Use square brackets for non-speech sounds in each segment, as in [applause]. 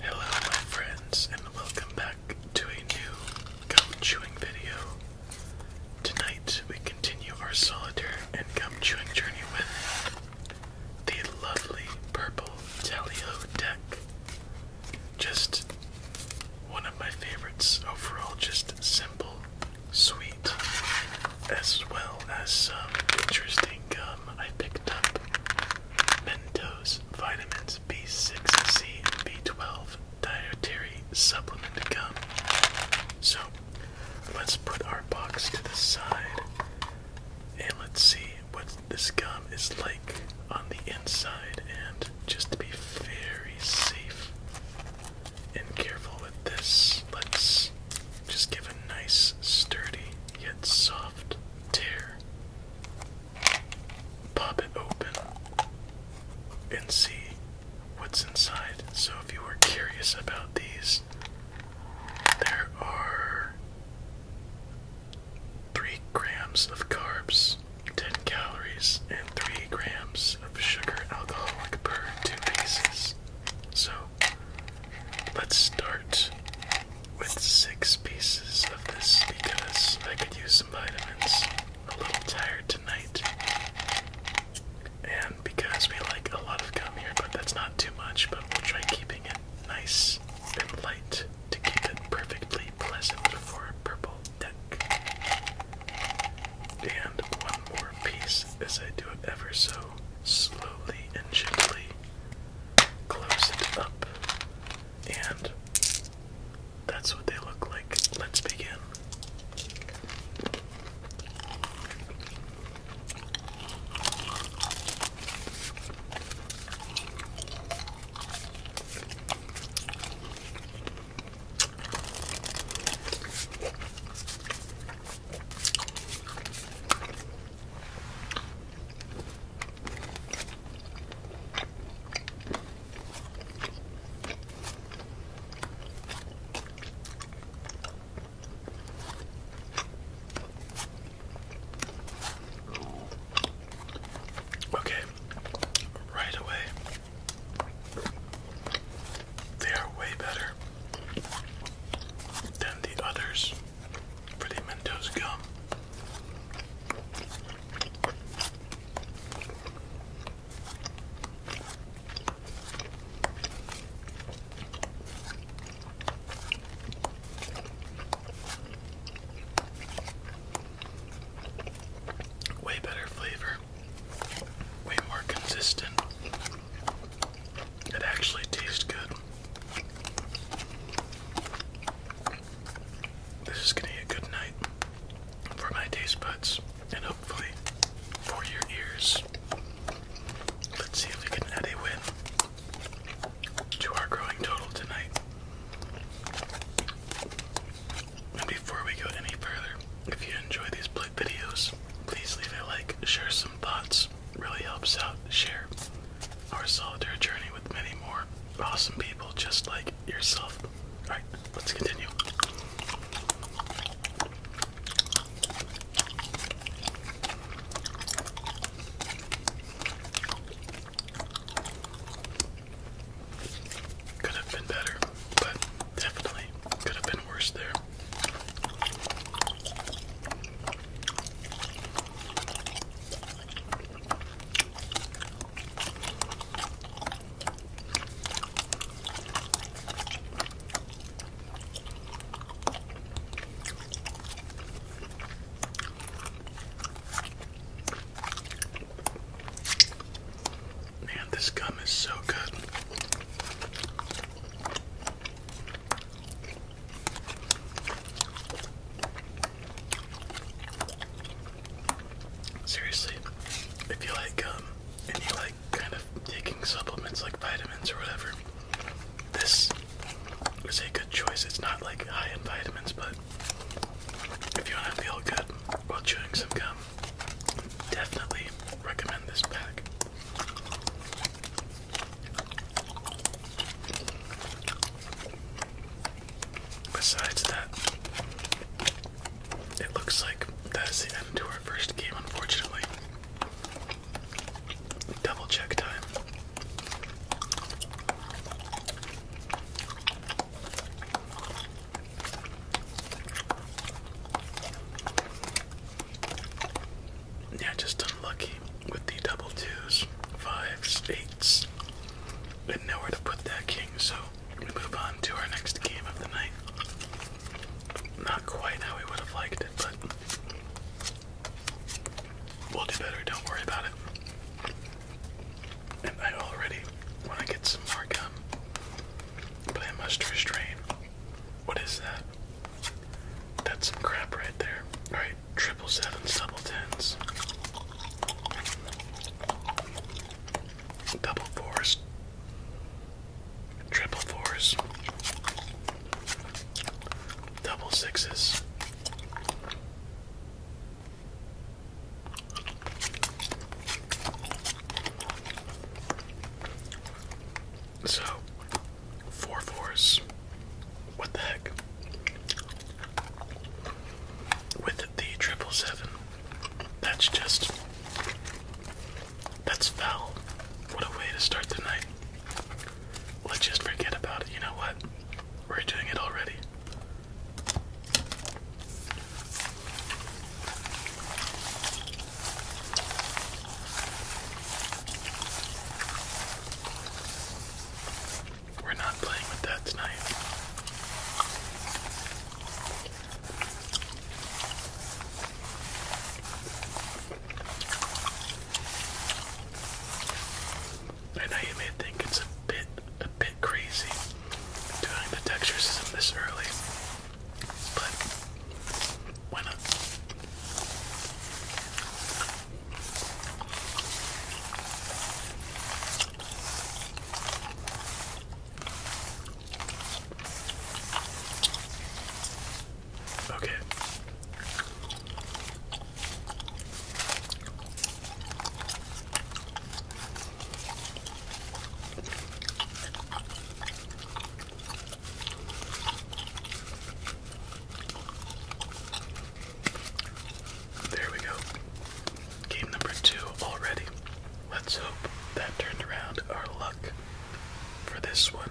Hello, my friends, and welcome back to a new gum chewing video. Tonight, we continue our solitaire and gum chewing journey with the lovely purple Tally Ho deck. Just one of my favorites overall, just simple, sweet, as well as some interesting gum. Uh, um, I picked up Mentos Vitamins B6, C, 12 Dietary Supplement Gum. So let's put our box to the side and let's see what this gum is like on the inside. And just to be very safe and careful with this, let's just give a nice, sturdy, yet soft tear. Pop it open and see what's inside. So, if you were curious about these, there are 3 grams of carbs, 10 calories, and 3 grams of sugar alcohol per 2 pieces. So, let's start with six pieces of this because I could use some vitamins. A little tired tonight. And because we like a lot of gum here, but that's not too much, but we'll try keeping it nice and light to keep it perfectly pleasant for a purple deck. And one more piece as I do it ever so slowly and gently close it up, and that's what they look like. Let's begin. Okay, right away, they are way better than the others pretty Mentos gum. Way better flavor, way more consistent. It actually tastes good. This is going to be a good night for my taste buds and hopefully for your ears. Let's see if we can add a win to our growing total tonight. And before we go any further, if you enjoy these split videos, please leave a like, share some thoughts, really helps out share our solitaire journey with many more awesome people just like yourself. Alright, let's continue. Could have been better, but definitely could have been worse there. Man, this gum is so good. Seriously, if you like gum and you like kind of taking supplements like vitamins or whatever, this is a good choice. It's not like high in vitamins, but if you want to feel good while chewing some gum, definitely recommend this pack. Besides that, it looks like that is the end to our first game, unfortunately. Double check time. Yeah, just unlucky with the double twos, fives, eights, and nowhere to put that king, so we move on to our next game of the night. Not quite how we would have liked it, but we'll do better, don't worry about it. And I already want to get some more gum, but I must restrain. What is that? That's some crap right there. Alright, triple sevens, double tens. Double fours. Triple fours. Double sixes. So, four fours. What the heck? With the triple seven, that's just that's foul. What a way to start the night. Let's just forget about it. You know what? We're doing it already. We're not playing with that tonight. I know you may think it's a bit a bit crazy doing the texture this early, but why not? Okay. There we go. Game number two already. Let's hope that turned around our luck for this one.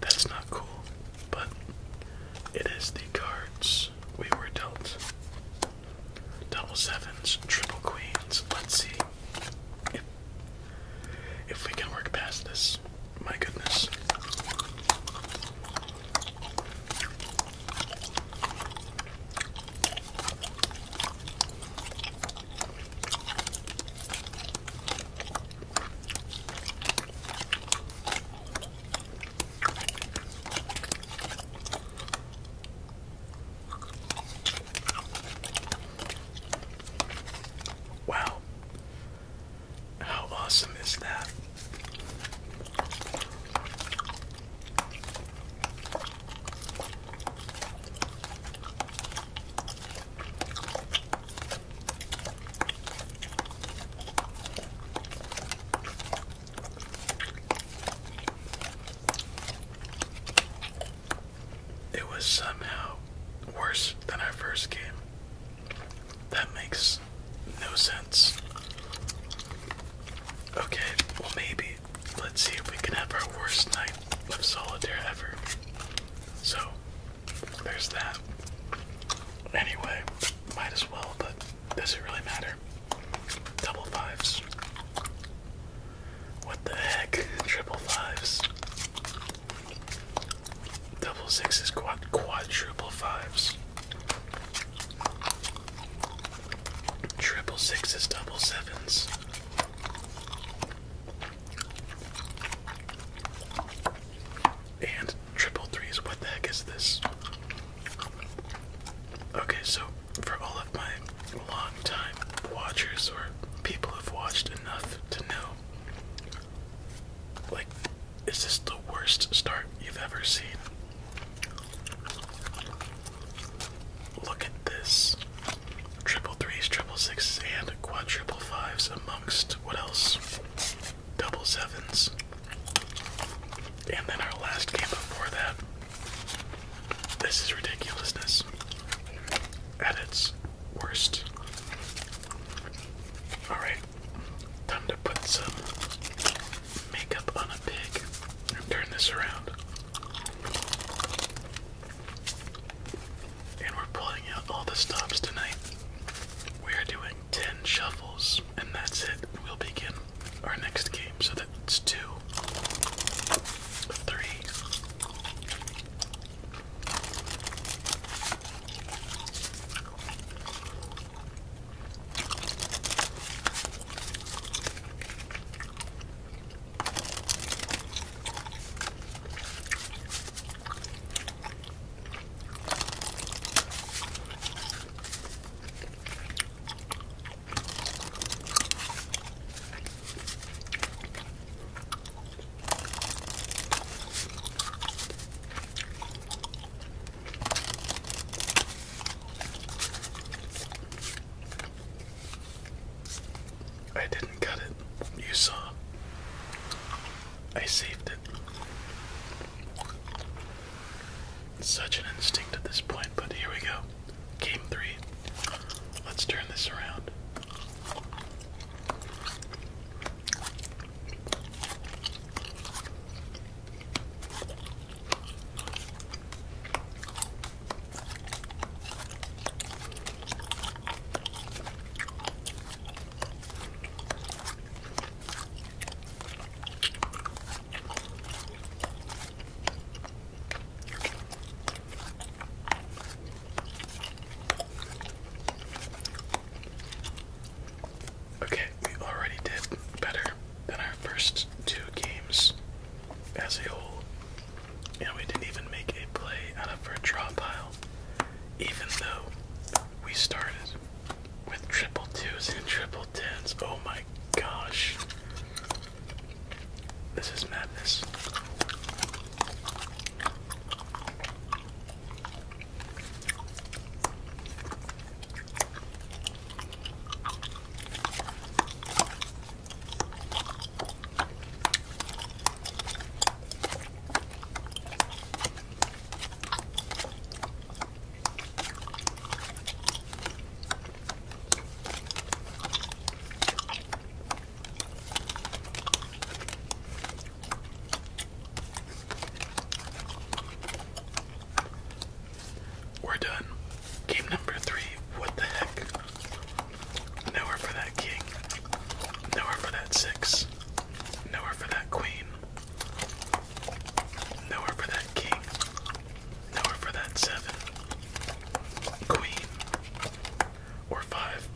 that's not cool, but it is the cards we were dealt. Double sevens, triple queens. Let's see if, if we can work past this. My goodness. Wow. How awesome is that? It was somehow worse than our first game. That makes no sense. Okay, well, maybe. Let's see if we can have our worst night of solitaire ever. So, there's that. Anyway, might as well, but does it really matter? Double fives. What the heck? Triple fives. Double sixes, quad quadruple fives. Triple sixes, double sevens. And triple threes. What the heck is this? Okay, so for all of my long time watchers or people who've watched enough to know, like, is this the worst start you've ever seen? Look at this triple threes, triple sixes, and quadruple fives amongst what else? Double sevens. And then our last game before that. This is ridiculousness. At its worst. Alright, time to put some makeup on a pig turn this around. And we're pulling out all the stops tonight. We are doing 10 shuffles, and that's it. We'll begin our next game. So that's two, three, I didn't cut it. You saw. I saved it. Such an instinct at this point, but here we go. Game three. Let's turn this around. Okay, we already did better than our first two games as a whole. And we didn't even make a play out of our draw pile even though we started with triple twos and triple tens. Oh my gosh. This is madness. We're done. Game number three. What the heck? Nowhere for that king. Nowhere for that six. Nowhere for that queen. Nowhere for that king. Nowhere for that seven. Queen. Or five.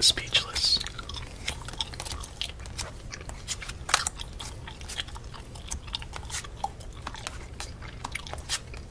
Speechless.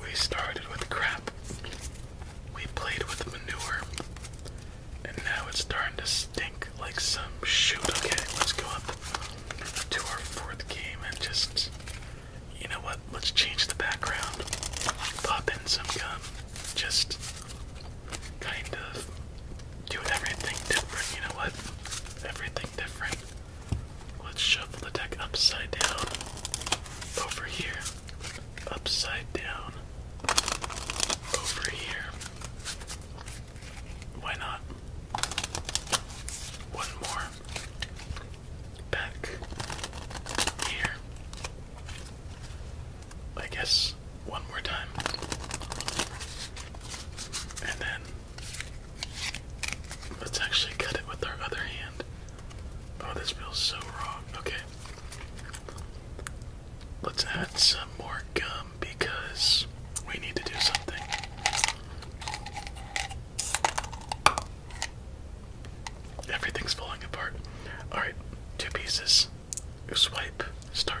We started with crap. We played with manure. And now it's starting to stink like some shoot. Okay, let's go up to our fourth game and just, you know what, let's change the background, pop in some gum, just kind of do everything different, you know what, everything different. Let's shuffle the deck upside down, over here, upside down, over here, why not? One more back here. I guess one more time. And then let's actually cut it with our other hand. Oh, this feels so wrong. Okay. Let's add some more gum because we need to do something. Everything's falling apart. Alright, two pieces. Swipe, start.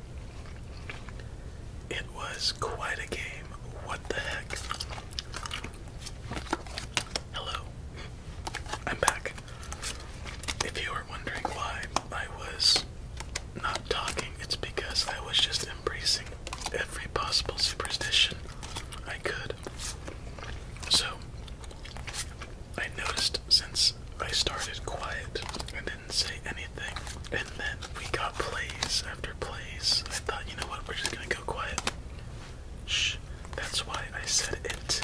It was quite a game. What the heck? Hello. I'm back. If you are wondering why I was not talking, it's because I was just embracing every possible superstition I could. So, I noticed since I started quiet didn't say anything. And then we got plays after plays. I thought, you know what, we're just gonna go quiet. Shh. That's why I said it.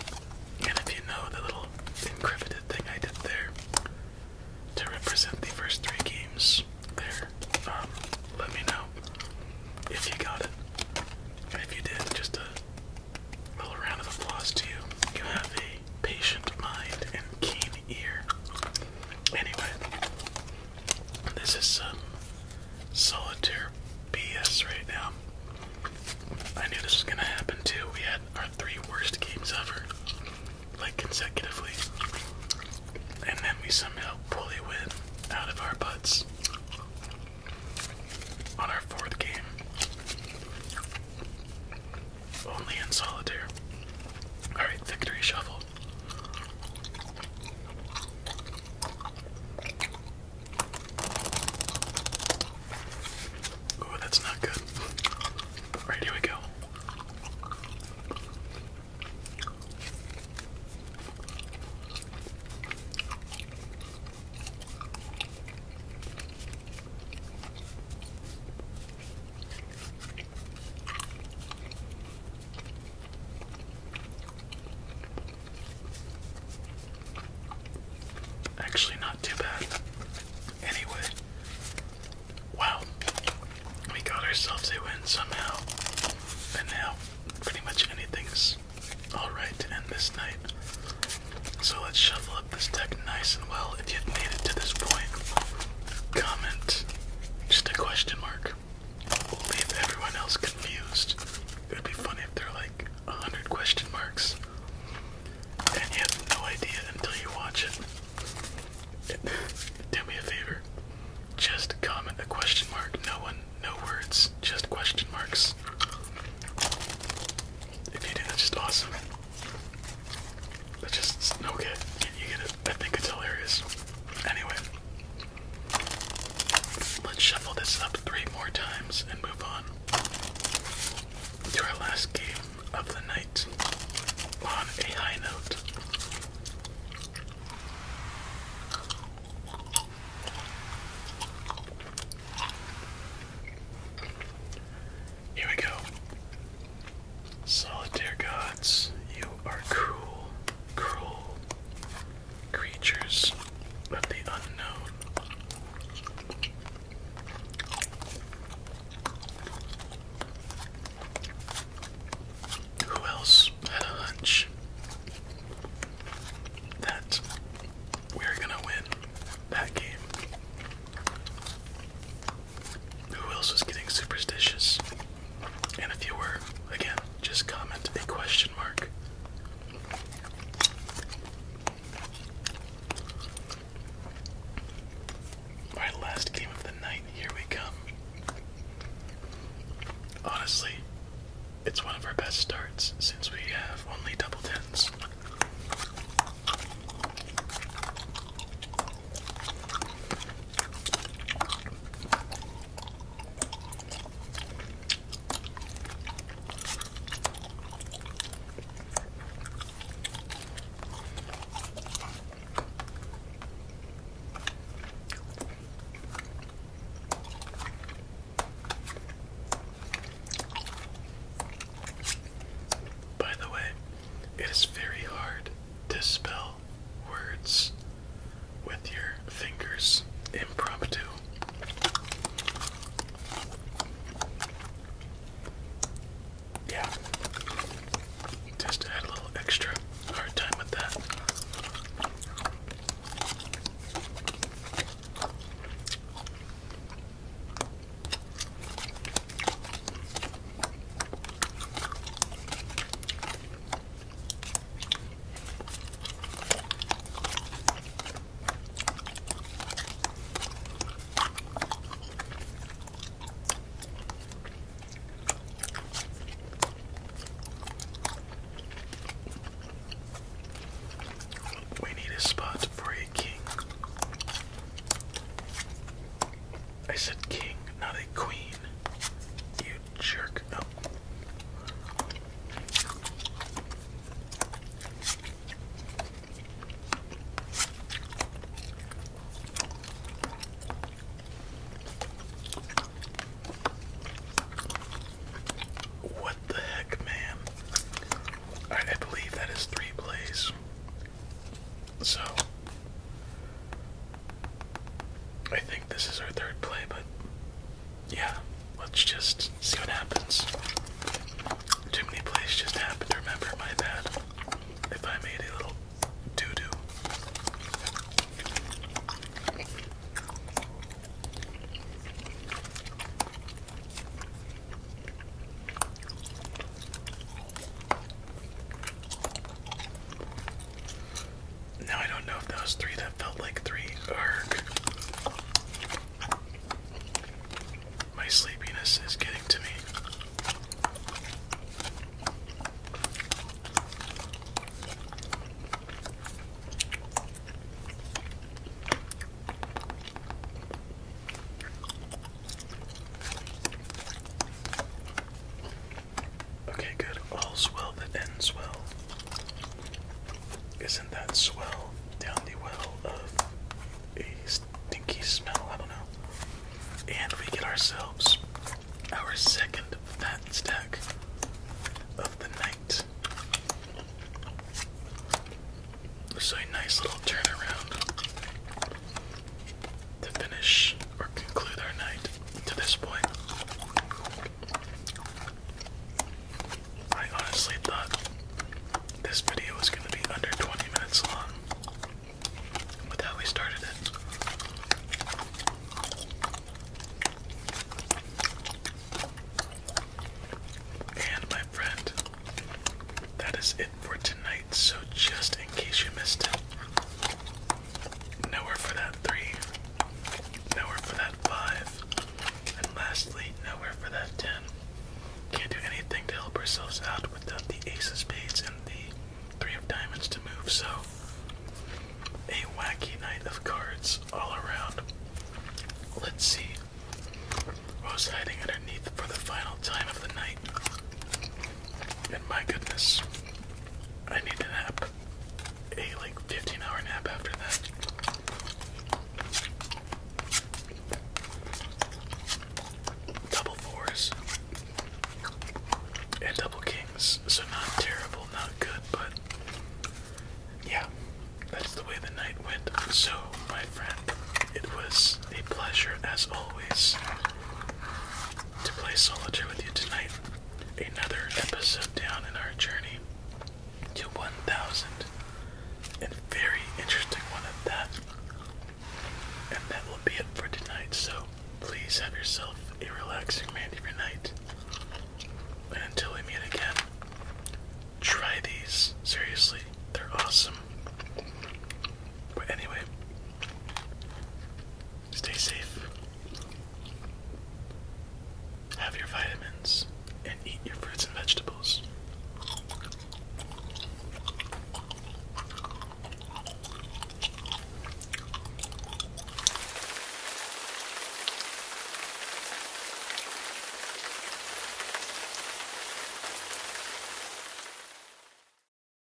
And if you know the little encrypted thing I did there to represent the first three games there, um, let me know if you got it. if you did, just a little round of applause to you. You have a patient mind and keen ear. Anyway, this is some solitaire BS right now. I knew this was gonna happen too. We had our three worst games ever, like consecutively, and then we somehow pull a win out of our butts on our fourth game. Only in solitaire. Alright, victory shuffle. Oh, that's not good. All right, here we go. Actually, not too bad. Anyway, wow, we got ourselves a win somehow, and now pretty much anything's alright to end this night. So let's shuffle up this deck nice and well if you've made it to this point comment, just a question mark. We'll leave everyone else confused. It would be funny if there were like a hundred question marks. And you have no idea until you watch it. [laughs] Do me a favor. Just comment a question mark. No one, no words, just question marks. If you do, that's just awesome. That's just no good. I think it's hilarious. Anyway, let's shuffle this up three more times and move on to our last game of the night on a high note. Here we go. Solitaire gods, you are cruel, cruel creatures of the unknown. Who else had a hunch that we are gonna win that game? who else was getting superstitious? And if you were, again, just comment a question mark. Alright, last game of the night, here we come. Honestly, it's one of our best starts since we have only double tens. By the way, it is very hard to spell words with your fingers impromptu. Yeah. Just had a little extra hard time with that. We need a spot for a king. I said king, not a queen. You jerk. No. Oh. What the heck, man? I believe that is three plays. So I think this is our third play, but yeah, let's just see what happens. Too many plays just happened. Remember, my bad. If I made a little doo doo. Now I don't know if those three that felt like three are. My sleepiness is getting to me. Okay, good. All's well that ends well. Isn't that swell down the well of a stinky smell? I don't know. And we get ourselves our second fat stack of the night. So a nice little turnaround to finish or conclude our night to this point. I honestly thought this video was going to be under 20 minutes long with how we started it. And my friend, that is it for tonight. So, just in case you missed it, nowhere for that three, nowhere for that five, and lastly, nowhere for that ten. Can't do anything to help ourselves out without the ace of spades and the three of diamonds to move, so a wacky night of cards all around. Let's see. Rose hiding underneath for the final time of the night? And my goodness, I need a nap. A like 15 hour nap after that. Double fours and double kings. So, not terrible, not good, but yeah, that's the way the night went. So, my friend, it was a pleasure as always to play solitaire with you tonight. Another episode down in our journey to 1,000. And very interesting one at that. And that will be it for tonight, so please have yourself a relaxing remainder of your night. And until we meet again, try these. Seriously, they're awesome. But anyway, Stay safe. Have your vitamins and eat your fruits and vegetables.